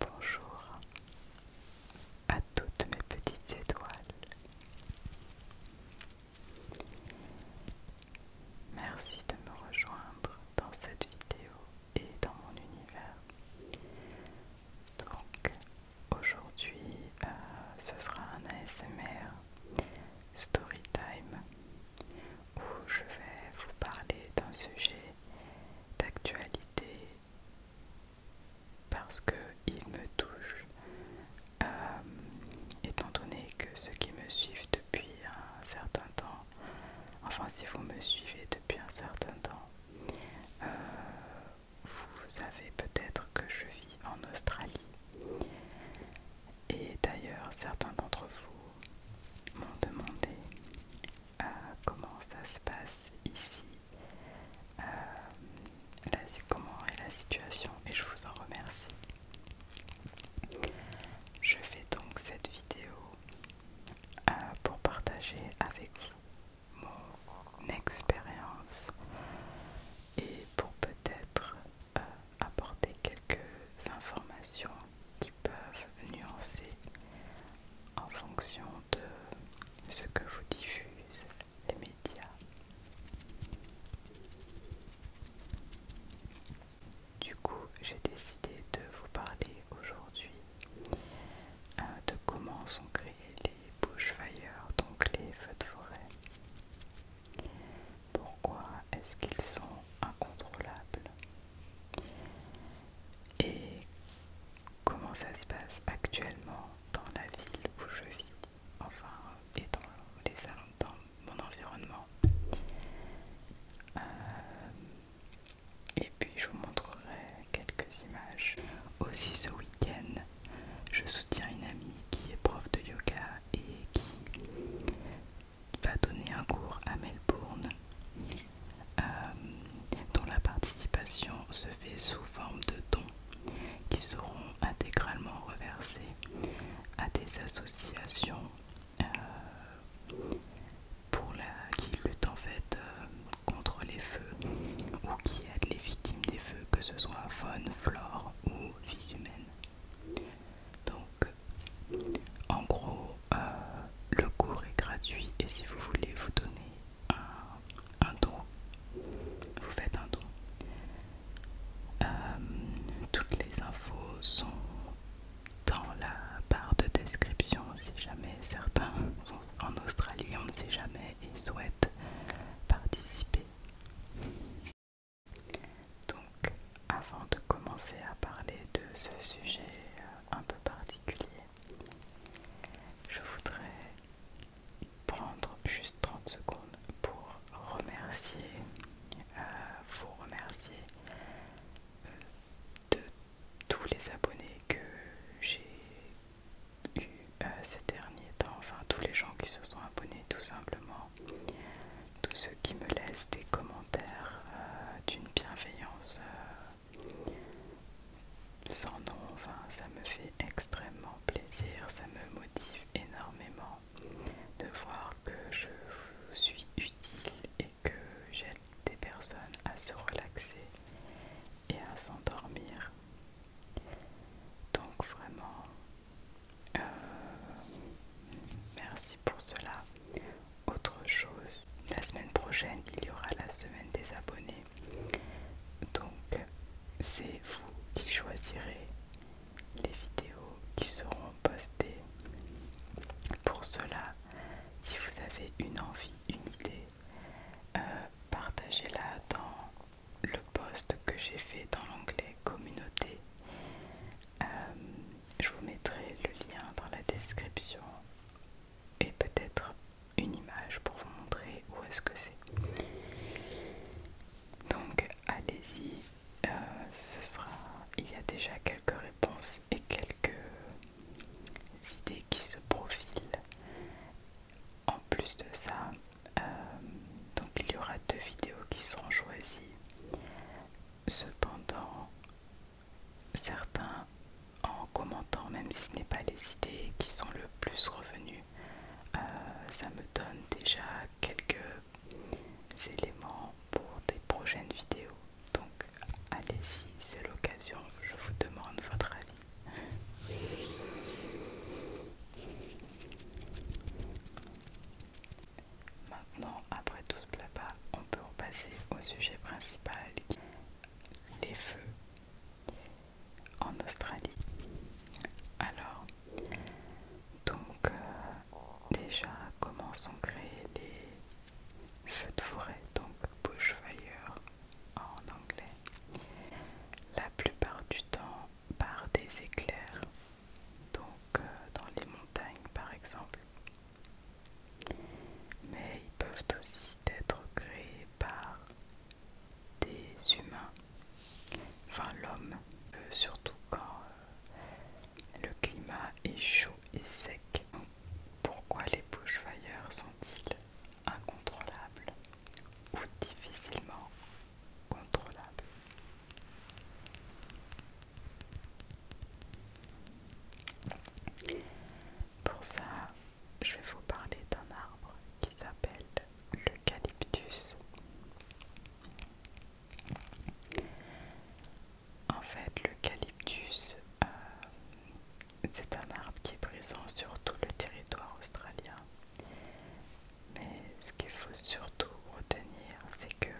Bonjour à toutes mes petites étoiles. Merci de me rejoindre dans cette vidéo et dans mon univers. Donc, Aujourd'hui, euh, ce sera un ASMR Storytime où je vais vous parler d'un sujet d'actualité parce que il me touche. Euh, étant donné que ceux qui me suivent depuis un certain temps, enfin si vous me suivez depuis un certain temps, euh, vous savez peut-être que je vis en Australie. Et d'ailleurs, certains d'entre vous m'ont demandé euh, comment ça se passe ici, euh, comment est la situation, et je vous en remercie. Je fais donc cette vidéo euh, pour partager avec vous mon expérience et pour peut-être euh, apporter quelques informations qui peuvent nuancer en fonction de ce que vous diffusent les médias. Du coup, j'ai décidé de vous parler aujourd'hui euh, de comment sont créés les bushfires, donc les feux de forêt. Pourquoi est-ce qu'ils sont incontrôlables Et comment ça se passe actuellement dans la ville où je vis, enfin, et dans, mon environnement euh, et puis je vous montrerai quelques images. Aussi ce week-end, je soutiens une amie qui est prof de yoga et qui va donner un cours à Melbourne euh, dont la participation se fait sous forme de dons qui seront intégralement reversés à des associations euh, qui luttent en fait euh, contre les feux ou qui aident les victimes des feux, que ce soit faune, flore ou aux humaine. Donc, en gros, euh, le cours est gratuit et si vous voulez vous donner un, don, vous faites un don. Euh, toutes les infos sont dans la barre de description si jamais certains sont en Australie, on ne sait jamais, et souhaitent participer donc, avant de commencer à parler de ce sujet euh, un peu particulier, je voudrais prendre juste 30 secondes pour remercier, euh, vous remercier euh, de tous les abonnés que j'ai eu euh, ces derniers temps, enfin tous les gens qui se sont abonnés tout simplement, tous ceux qui me laissent des commentaires euh, d'une bienveillance euh, sans nom, enfin ça me fait extrêmement plaisir, ça me motive énormément de voir que je vous suis utile et que j'aide des personnes à se relaxer et à s'endormir. Donc vraiment, euh, merci pour cela. Autre chose, la semaine prochaine, il y aura la semaine des abonnés. Donc, c'est vous qui choisirez les vidéos qui seront postées. Pour cela, si vous avez une envie, une idée, euh, partagez-la dans le post que j'ai fait dans l'onglet communauté. Euh, je vous mettrai le lien dans la description et peut-être une image pour vous montrer où est-ce que c'est. Donc allez-y, euh, ce sera. Il y a déjà quelques réponses et quelques idées qui se profilent. En plus de ça, euh, il y aura deux vidéos qui seront choisies. Cependant, certains en commentant, même si ce n'est pas les idées qui sont le plus revenus, euh, ça me donne déjà quelques éléments pour des prochaines vidéos. Donc allez-y, c'est l'occasion, je vous demande votre avis. Maintenant, après tout ce blabla, on peut repasser au sujet principal, les feux en Australie. Alors, donc euh, déjà, comment sont créés les feux de forêt, donc bushfire en anglais. La plupart du temps, par des éclairs, donc euh, dans les montagnes par exemple. Mais ils peuvent aussi être créés par des humains, enfin l'homme, surtout quand euh, le climat est chaud et sec. pourquoi les bushfires sont-ils incontrôlables ou difficilement contrôlable. Pour ça, je vais vous parler d'un arbre qui s'appelle l'eucalyptus. En fait, l'eucalyptus, euh, c'est un arbre qui est présent sur tout le territoire australien. Mais ce qu'il faut surtout retenir, c'est que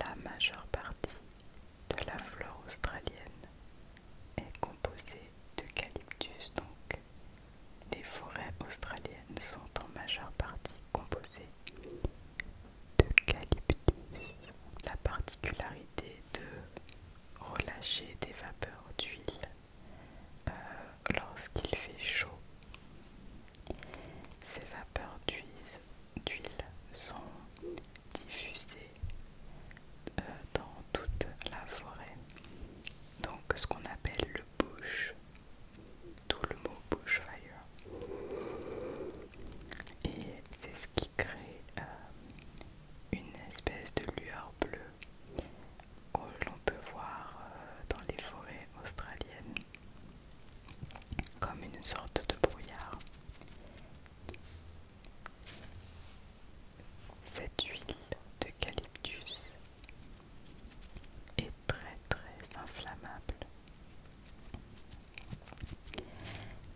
la majeure partie de la flore australienne est composée d'eucalyptus, donc les forêts australiennes sont en majeure partie composées d'eucalyptus. La particularité de relâcher des vapeurs d'huile euh, lorsqu'il fait chaud. Ces vapeurs d'huile sont diffusées euh, dans toute la forêt. Donc ce qu'on appelle le bush, tout le mot bushfire. Et c'est ce qui crée euh, une espèce de lueur bleue que l'on peut voir euh, dans les forêts australiennes comme une sorte de brouillard. Cette huile d'eucalyptus est très très inflammable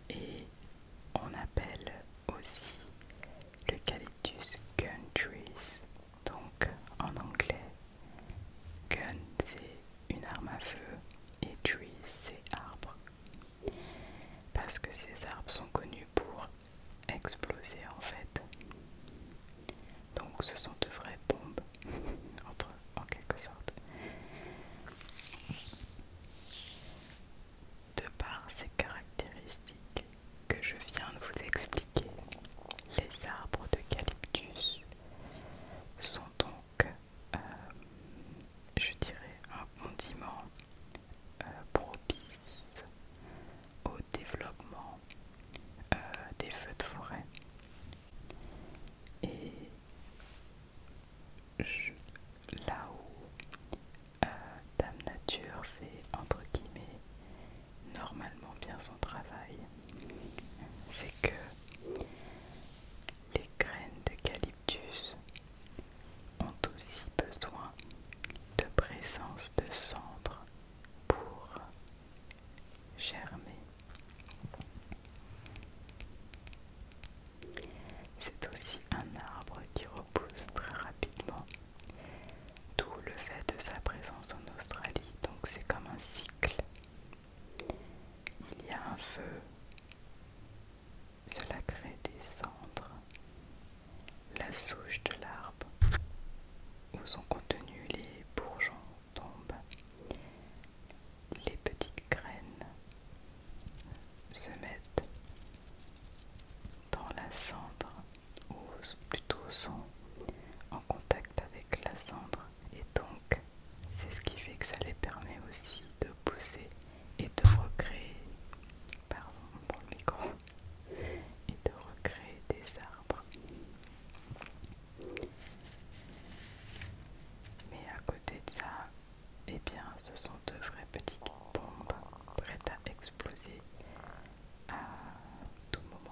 et on appelle aussi l'eucalyptus gun trees donc en anglais, gun c'est une arme à feu et tree c'est arbre. Parce que ces arbres sont connus pour exploser en fait. Donc ce sont de vraies bombes, en quelque sorte. De par ces caractéristiques que je viens de vous expliquer, les arbres d'eucalyptus sont donc, euh, je dirais, un condiment euh, propice au développement euh, des feux de forêt. Et là où Dame Nature fait entre guillemets normalement bien son travail, c'est que les graines d'eucalyptus ont aussi besoin de présence de cendres pour germer. C'est aussi un arbre qui repousse très rapidement, d'où le fait de sa présence en Australie. Donc c'est comme un cycle il y a un feu. Cela crée des cendres. La souche de l'arbre où sont contenus les bourgeons tombent, Les petites graines se mettent dans la cendre ou plutôt sont en contact avec la cendre et donc c'est ce qui fait que ça les permet aussi de pousser et de recréer pardon micro et de recréer des arbres mais à côté de ça eh bien ce sont de vraies petites bombes prêtes à exploser à tout moment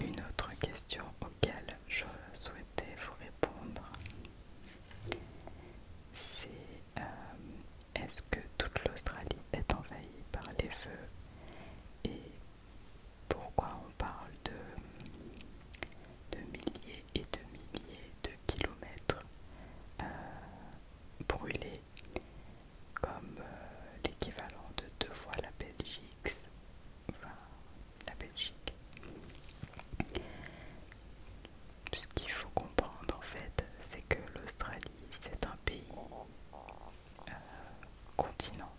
une autre question auxquelles je souhaitais vous répondre, c'est euh, est-ce que toute l'Australie est envahie par les feux et pourquoi on parle de, de milliers et de milliers de kilomètres euh, brûlés comme euh, l'équivalent de deux fois la Belgique, enfin la Belgique. Ce qu'il faut comprendre en fait, c'est que l'Australie c'est un pays euh, continent.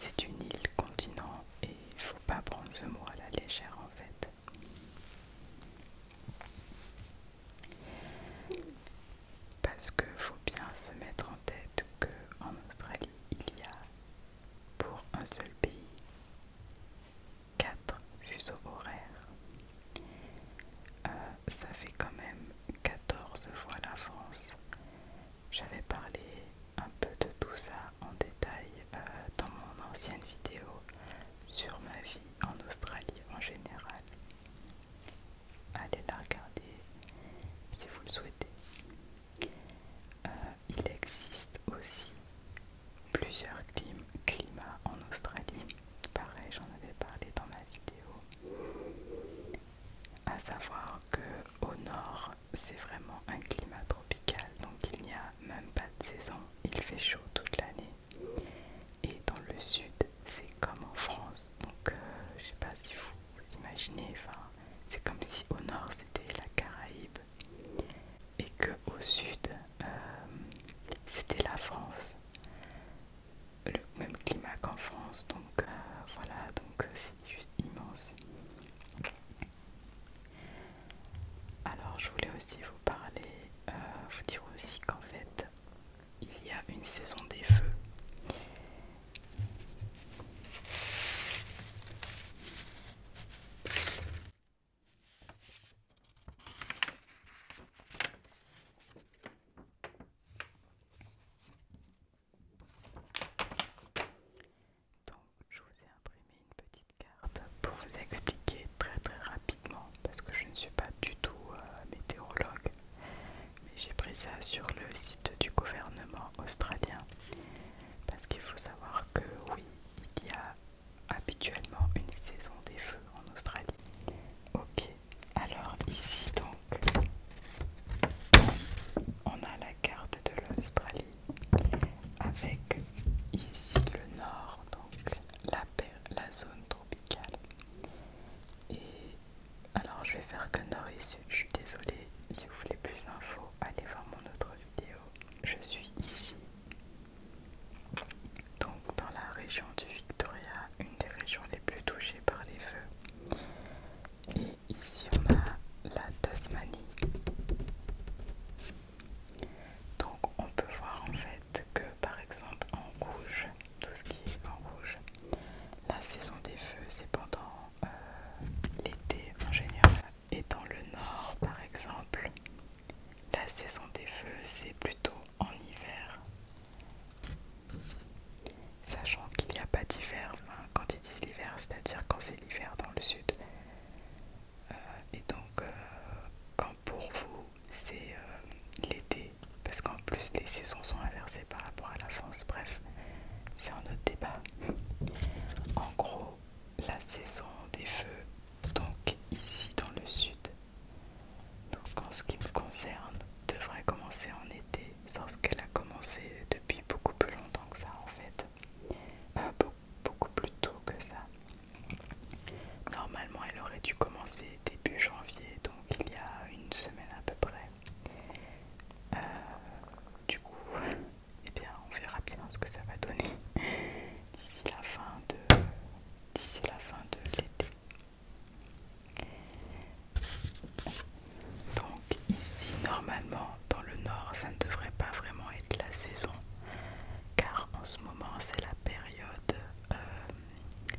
C'est une île continent et il ne faut pas prendre ce mot à la légère en fait parce qu'il faut bien se mettre en tête qu'en Australie il y a pour un seul pays 4 fuseaux horaires. Euh, ça fait quand même 14 fois la France. J'avais parlé un peu de tout ça en détail euh, dans mon ancienne vidéo sur ma vie en Australie en général allez la regarder si vous le souhaitez. Euh, il existe aussi plusieurs climats en Australie. Pareil, j'en avais parlé dans ma vidéo. À savoir que au nord, c'est vraiment un climat tropical, donc il n'y a même pas de saison. Il fait chaud toute l'année. Et dans le sud, c'est comme en France, donc, euh, je sais pas si vous imaginez, c'est comme si au nord c'était la Caraïbe et que au sud euh, c'était la France. Le même climat qu'en France, donc euh, voilà, donc c'est juste immense. Alors, je voulais aussi vous parler, vous dire aussi qu'en fait, il y a une saison des feux. Donc, je vous ai imprimé une petite carte pour vous expliquer très très rapidement parce que je ne suis pas du tout euh, météorologue mais j'ai pris ça sur le site du gouvernement australien parce qu'il faut savoir que oui, il y a habituellement une saison des feux en Australie. Ok, alors ici donc on a la carte de l'Australie avec ici le nord, donc la, la zone tropicale et alors je vais faire que Norris, je suis désolée, si vous voulez plus d'infos, allez voir mon autre vidéo. Je suis ici, donc dans la région du Victoria, une des régions les plus touchées par les feux. Et ici on a la Tasmanie. Donc on peut voir en fait que par exemple en rouge tout ce qui est en rouge. La saison des feux, c'est pendant euh, l'été en général. Et dans le nord, par exemple, la saison des feux, c'est plutôt en hiver. Sachant qu'il n'y a pas d'hiver, quand ils disent l'hiver, c'est-à-dire quand c'est l'hiver dans le sud. Euh, et donc, euh, quand pour vous, c'est l'été, parce qu'en plus, les saisons sont inversées par rapport à la France. Bref, c'est un autre débat. En gros, la saison des feux, donc ici dans le sud, donc en ce qui me concerne, devrait commencer en été. Sauf qu'elle a commencé depuis beaucoup plus longtemps que ça en fait. Euh, beaucoup plus tôt que ça. Normalement, elle aurait dû commencer début janvier, donc il y a une semaine à peu près. Euh, du coup, eh on verra bien ce que ça va donner d'ici la fin de l'été. Donc ici, normalement, dans le nord, ça ne devrait pas vraiment être la saison, car en ce moment, c'est la période, euh,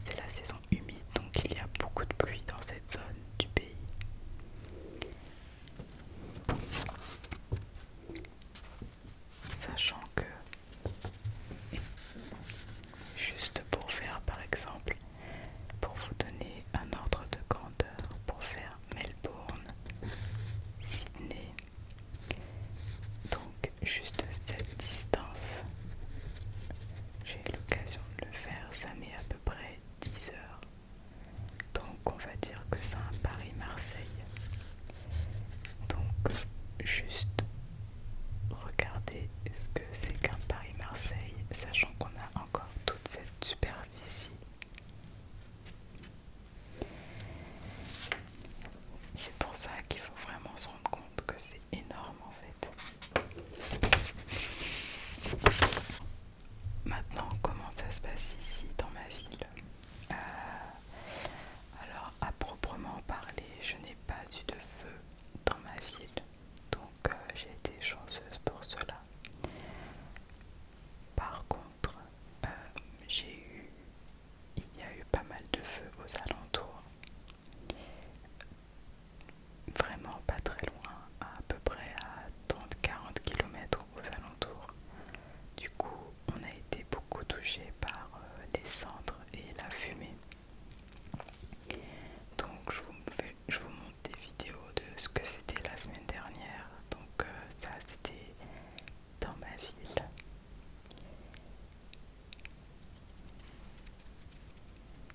c'est la saison humide donc il y a beaucoup de pluie dans cette zone du pays. Sachant que, juste pour faire par exemple, pour vous donner un ordre de grandeur, pour faire Melbourne, Sydney, donc juste cette distance j'ai eu l'occasion de le faire, ça met à peu près 10 heures. Donc on va dire que c'est un Paris-Marseille. Donc juste regardez ce que c'est qu'un Paris-Marseille, sachant qu'on a encore toute cette superficie. C'est pour ça qu'il faut vraiment se rendre compte que c'est énorme en fait. Maintenant, comment ça se passe ici dans ma ville euh, Alors, à proprement parler, je n'ai pas eu de feu dans ma ville, donc euh, j'ai été chanceuse pour cela. Par contre, euh, il y a eu pas mal de feux aux alentours vraiment pas très loin, à peu près à 30-40 km aux alentours. Du coup, on a été beaucoup touché par euh, les cendres et la fumée. Donc, je vous, montre des vidéos de ce que c'était la semaine dernière. Donc, euh, ça, c'était dans ma ville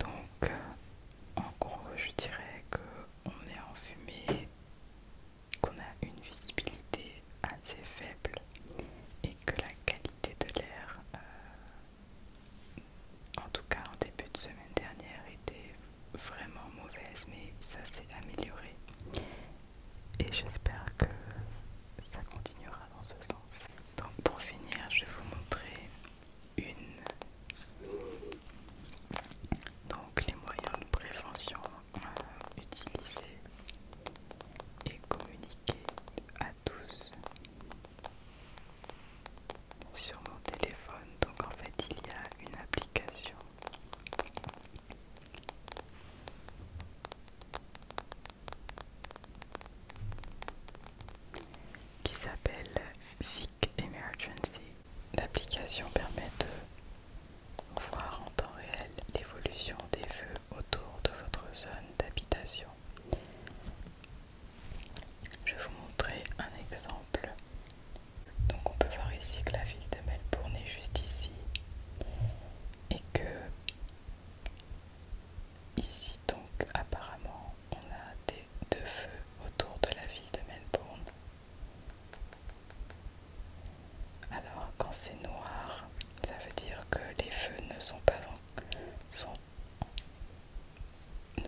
Donc, en gros, je dirais qu'on est en fumée, qu'on a une visibilité assez faible et que la qualité de l'air, euh, en tout cas en début de semaine dernière, était vraiment mauvaise, mais ça s'est amélioré. Et j'espère que ça continuera dans ce sens. Donc pour finir, je vais vous montrer une. Donc les moyens de prévention euh, utilisés et communiqués à tous sur mon téléphone. Donc en fait il y a une application qui s'appelle Vic Emergency. L'application permet de voir en temps réel l'évolution des feux autour de votre zone d'habitation. Je vais vous montrer un exemple. Donc on peut voir ici que la ville de Melbourne est juste ici et que Ici donc apparemment on a des deux feux autour de la ville de Melbourne. Alors quand c'est noir, ça veut dire que les feux ne sont pas,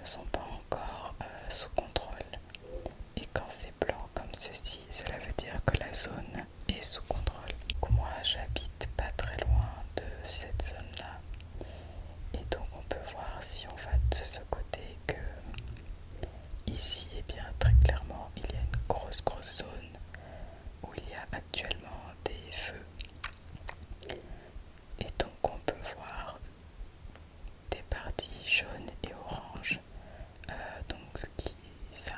ne sont pas encore euh, sous contrôle. Et quand c'est blanc comme ceci, cela veut dire que la zone est sous contrôle. Donc moi j'habite pas très loin de cette zone là et donc on peut voir si on va de ce côté que ici et eh bien très clairement il y a une grosse grosse zone où il y a actuellement des feux et donc on peut voir des parties jaunes et oranges euh, donc ça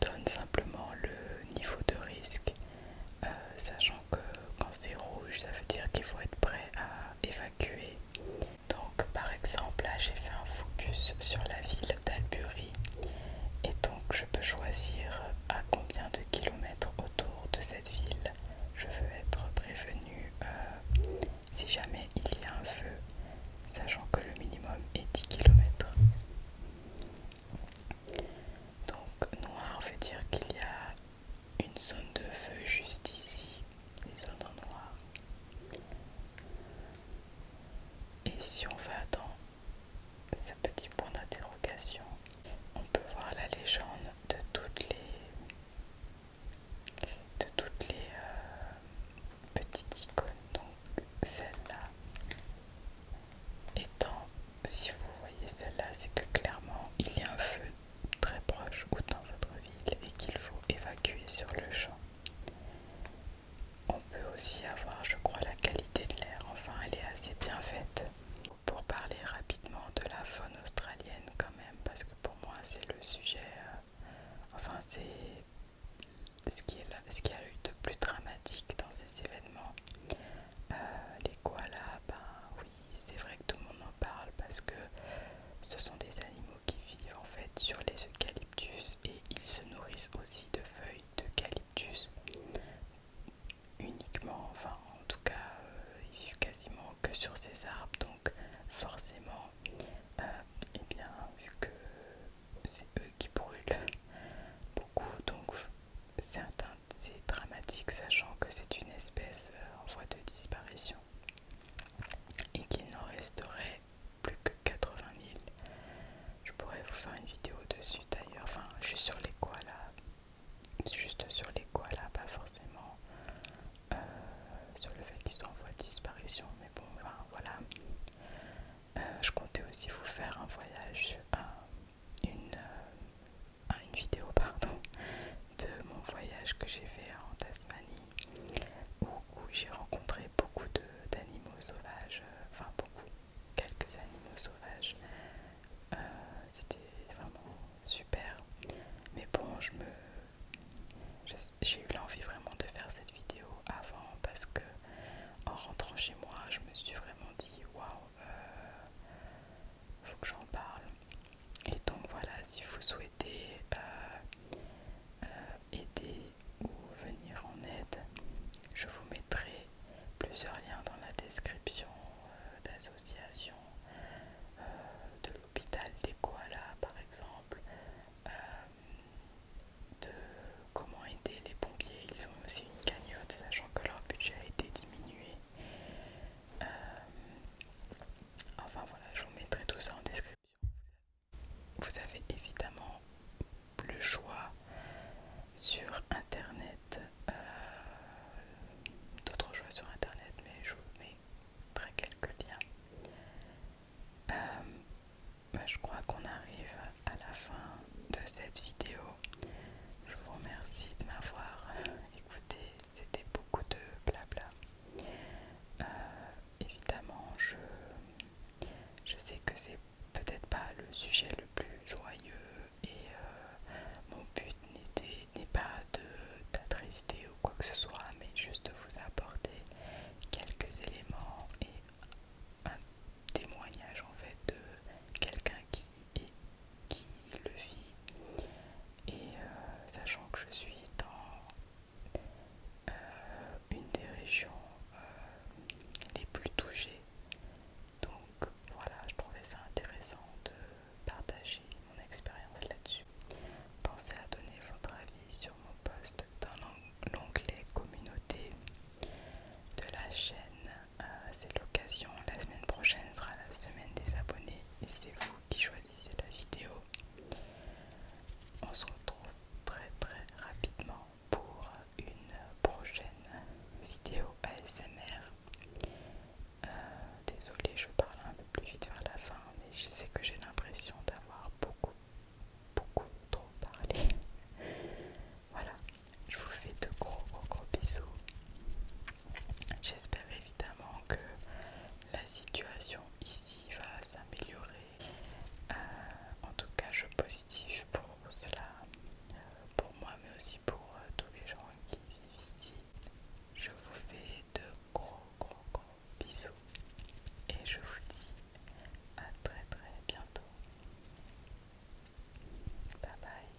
donne simplement le niveau de risque euh, sachant que quand c'est rouge ça veut dire qu'il faut être prêt à évacuer donc par exemple là j'ai fait un focus sur la ville d'Albury et donc je peux choisir à combien de kilomètres autour de cette ville je veux être prévenu euh, si jamais il y a un feu sachant que le minimum est 10 km donc noir veut dire qu'il y a une zone de feu juste ici, les zones en noir. Et si on va dans ce petit point d'interrogation, on peut voir la légende de toutes les, de toutes les euh, petites icônes. Donc celle-là étant si vous voyez celle-là, c'est que clairement il y a un feu très proche ou dans votre ville et qu'il faut évacuer sur le champ. On peut aussi avoir, je crois, la qualité de l'air, enfin elle est assez bien faite. Pour parler rapidement de la faune australienne quand même, parce que pour moi c'est le sujet, euh, enfin c'est ce qui, est ce a eu de plus dramatique dans ces événements. Euh, les koalas, ben c'est vrai que tout le monde en parle parce que ce sont des animaux qui vivent en fait sur les eucalyptus et ils se nourrissent aussi de feuilles d'eucalyptus uniquement, enfin en tout cas euh, ils vivent quasiment que sur ces arbres donc forcément et euh, eh bien vu que c'est eux qui brûlent beaucoup donc c'est certains c'est dramatique sachant que c'est une espèce euh, en voie de disparition et qu'il n'en resterait plus que 80 000. Je pourrais vous faire une vidéo dessus d'ailleurs, enfin juste sur les koalas, juste sur les koalas, pas forcément euh, sur le fait qu'ils sont en voie de disparition, mais bon, voilà. Euh, je comptais aussi vous faire un voyage, à une ah, une vidéo pardon de mon voyage que j'ai fait en Tasmanie où, j'ai rencontré beaucoup d'animaux sauvages, euh, enfin beaucoup, quelques animaux sauvages. Euh, c'était vraiment super. Mais bon, je me j'ai eu l'envie vraiment de faire cette vidéo avant parce que en rentrant chez moi, je me suis vraiment dit waouh, euh, faut que j'en parle. Et donc voilà, si vous souhaitez euh, euh, aider ou venir en aide, je vous mettrai plusieurs liens dans la description euh, d'associations de l'hôpital des koalas par exemple, de comment aider les pompiers. Ils ont aussi une cagnotte, sachant que leur budget a été diminué. Euh, enfin voilà, je vous mettrai tout ça en description. Vous avez évidemment le choix sur internet, euh, d'autres choix sur internet, mais je vous très quelques liens. Euh, bah, je crois qu'on arrive à la fin de cette vidéo. Je vous remercie de m'avoir écouté c'était beaucoup de blabla. Euh, évidemment, je, je sais que c'est peut-être pas le sujet le plus joyeux et euh, mon but n'est pas de d'attrister ou quoi que ce soit, mais juste de vous apporter quelques éléments et un témoignage en fait de quelqu'un qui et qui le vit. Et euh, sachant que je suis dans euh, une des régions euh, les plus touchées, donc voilà, je trouvais ça intéressant de partager mon expérience là-dessus. Pensez à donner votre avis sur mon post dans l'onglet communauté de la chaîne. C'est l'occasion, la semaine prochaine sera la semaine des abonnés et qui choisissez la vidéo. On se retrouve très très rapidement pour une prochaine vidéo ASMR. Euh, Désolée, je parle un peu plus vite vers la fin, mais je sais que j'ai l'impression d'avoir beaucoup, beaucoup trop parlé. voilà, je vous fais de gros, gros, gros bisous. J'espère évidemment que la situation ici va s'améliorer. Euh, en tout cas, je positif pour cela, euh, pour moi, mais aussi pour euh, tous les gens qui vivent ici. Je vous fais de gros, gros, gros bisous et je vous dis à très, très bientôt. Bye bye.